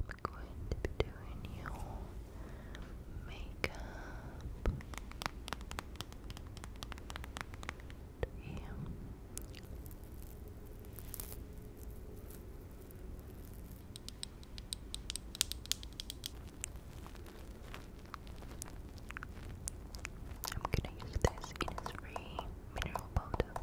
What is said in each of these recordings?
I'm going to be doing your makeup. Yeah. I'm gonna use this in mineral powder.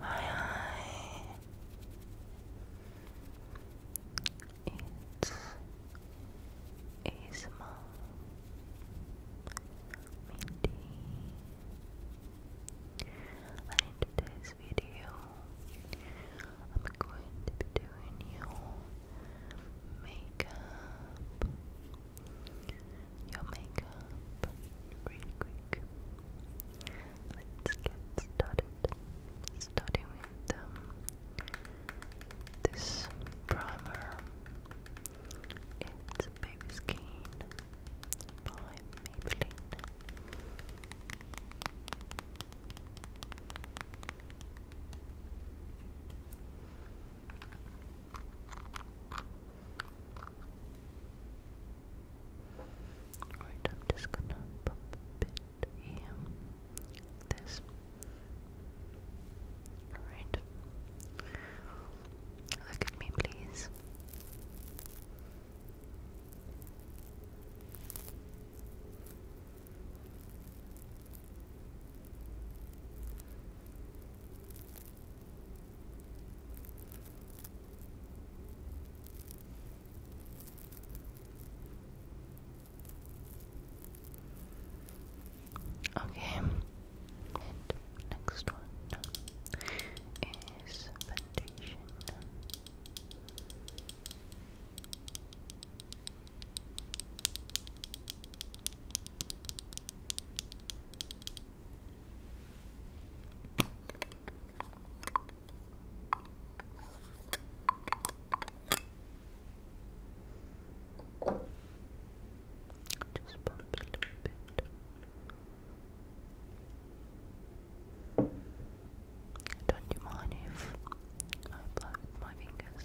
Hi, It's Isma Mindy. in today's video, I'm going to be doing you makeup. Your makeup really quick. Let's get started. Starting with um, this primer. It's Baby Skin by Maybelline. Alright, I'm just gonna pop a bit this. Alright. Look at me, please. Okay, and next one is foundation. Just pump a little bit. Don't you mind if I blow my fingers?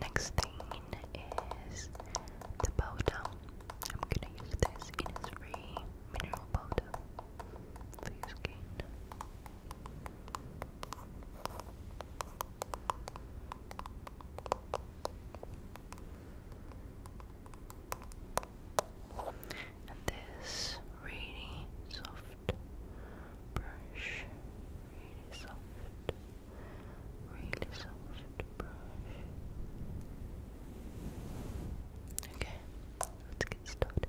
Next thing is the powder. I'm gonna use this in mineral powder for your skin. And this really soft brush, really soft, really soft brush. Okay, let's get started.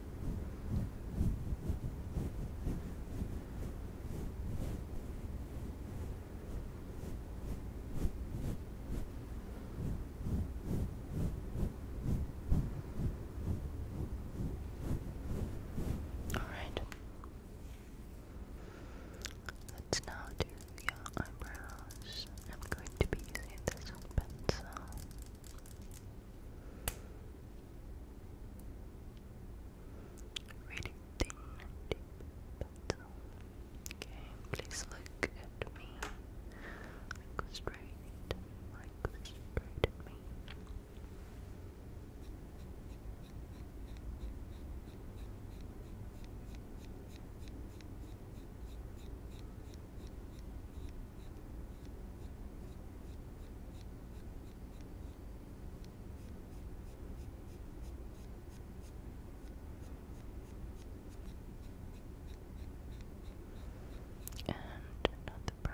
All right. Let's now do your eyebrows. I'm going to be using this pencil. Really thin, deep petal. Okay, please look at me. Look straight, like straight at me. And not the brow.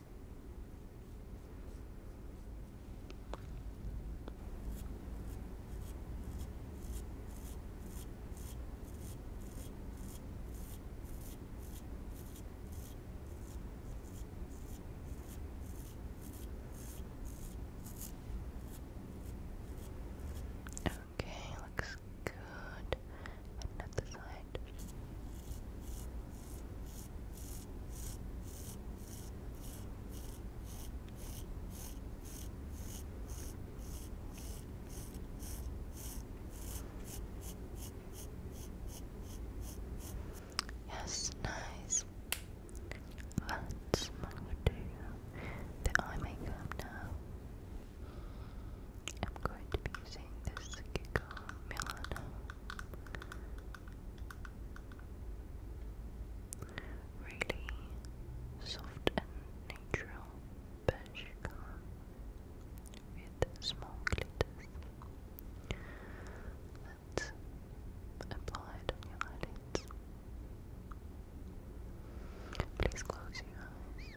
Okay, looks good and at the side. Yes, nice. Let's move to the eye makeup now. I'm going to be using this Giga Milan really soft and natural beige color with small glitters. Let's apply it on your eyelids. Please close your eyes.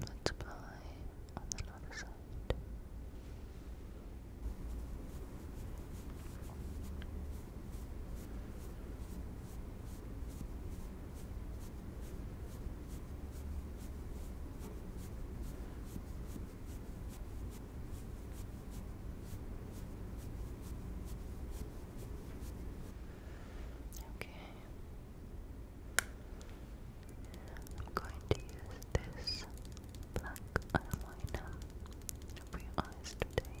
Let's apply on the other side. Okay. I'm going to use this black eyeliner for your today.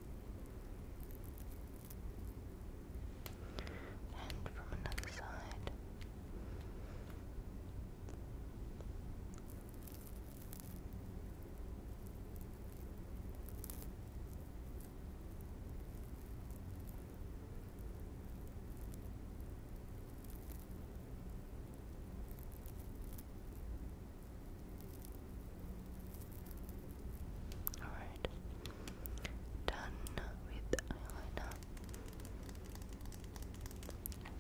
And from another side. Alright. Done with eyeliner.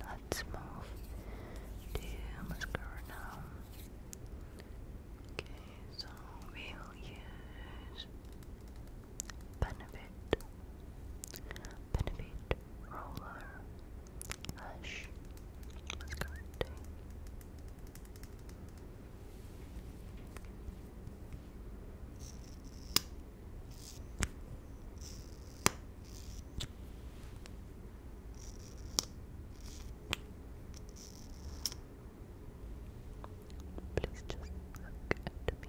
Let's move to mascara Okay, so we'll use Benefit, Benefit Roller Lash Mascara Please just look at me, look at me.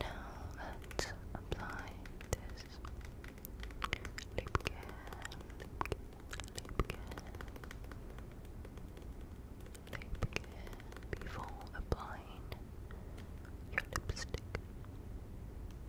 Now let's apply this lip care, lip care, lip care, lip care before applying your lipstick. Okay.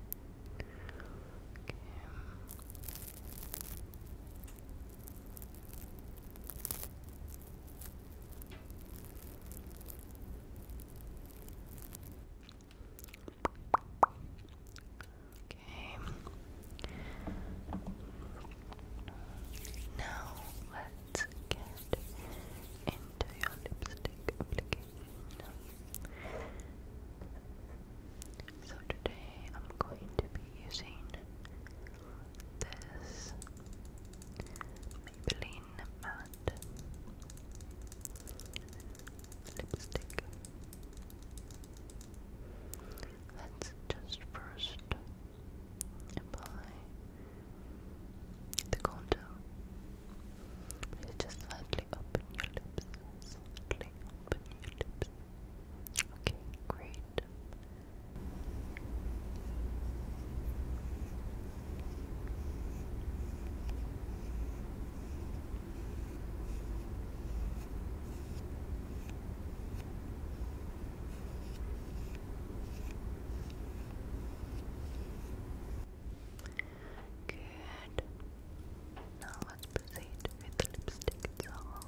Okay. Now let's get into your lipstick so today I'm going to be using this Maybelline matte lipstick. Let's just first apply the contour. just slightly open your lips. Slightly open your lips. Okay, great. Good. Now let's proceed with lipstick itself.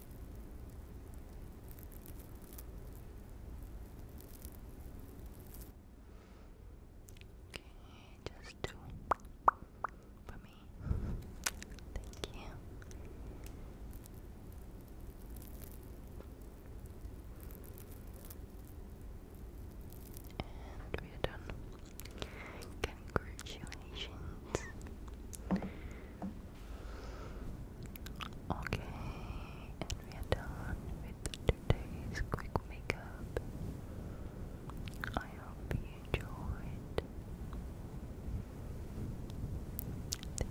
Okay, just do for me. Thank you. And we are done. Congratulations. Okay, and we are done with today's quick makeup. I hope you enjoyed. Thank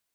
you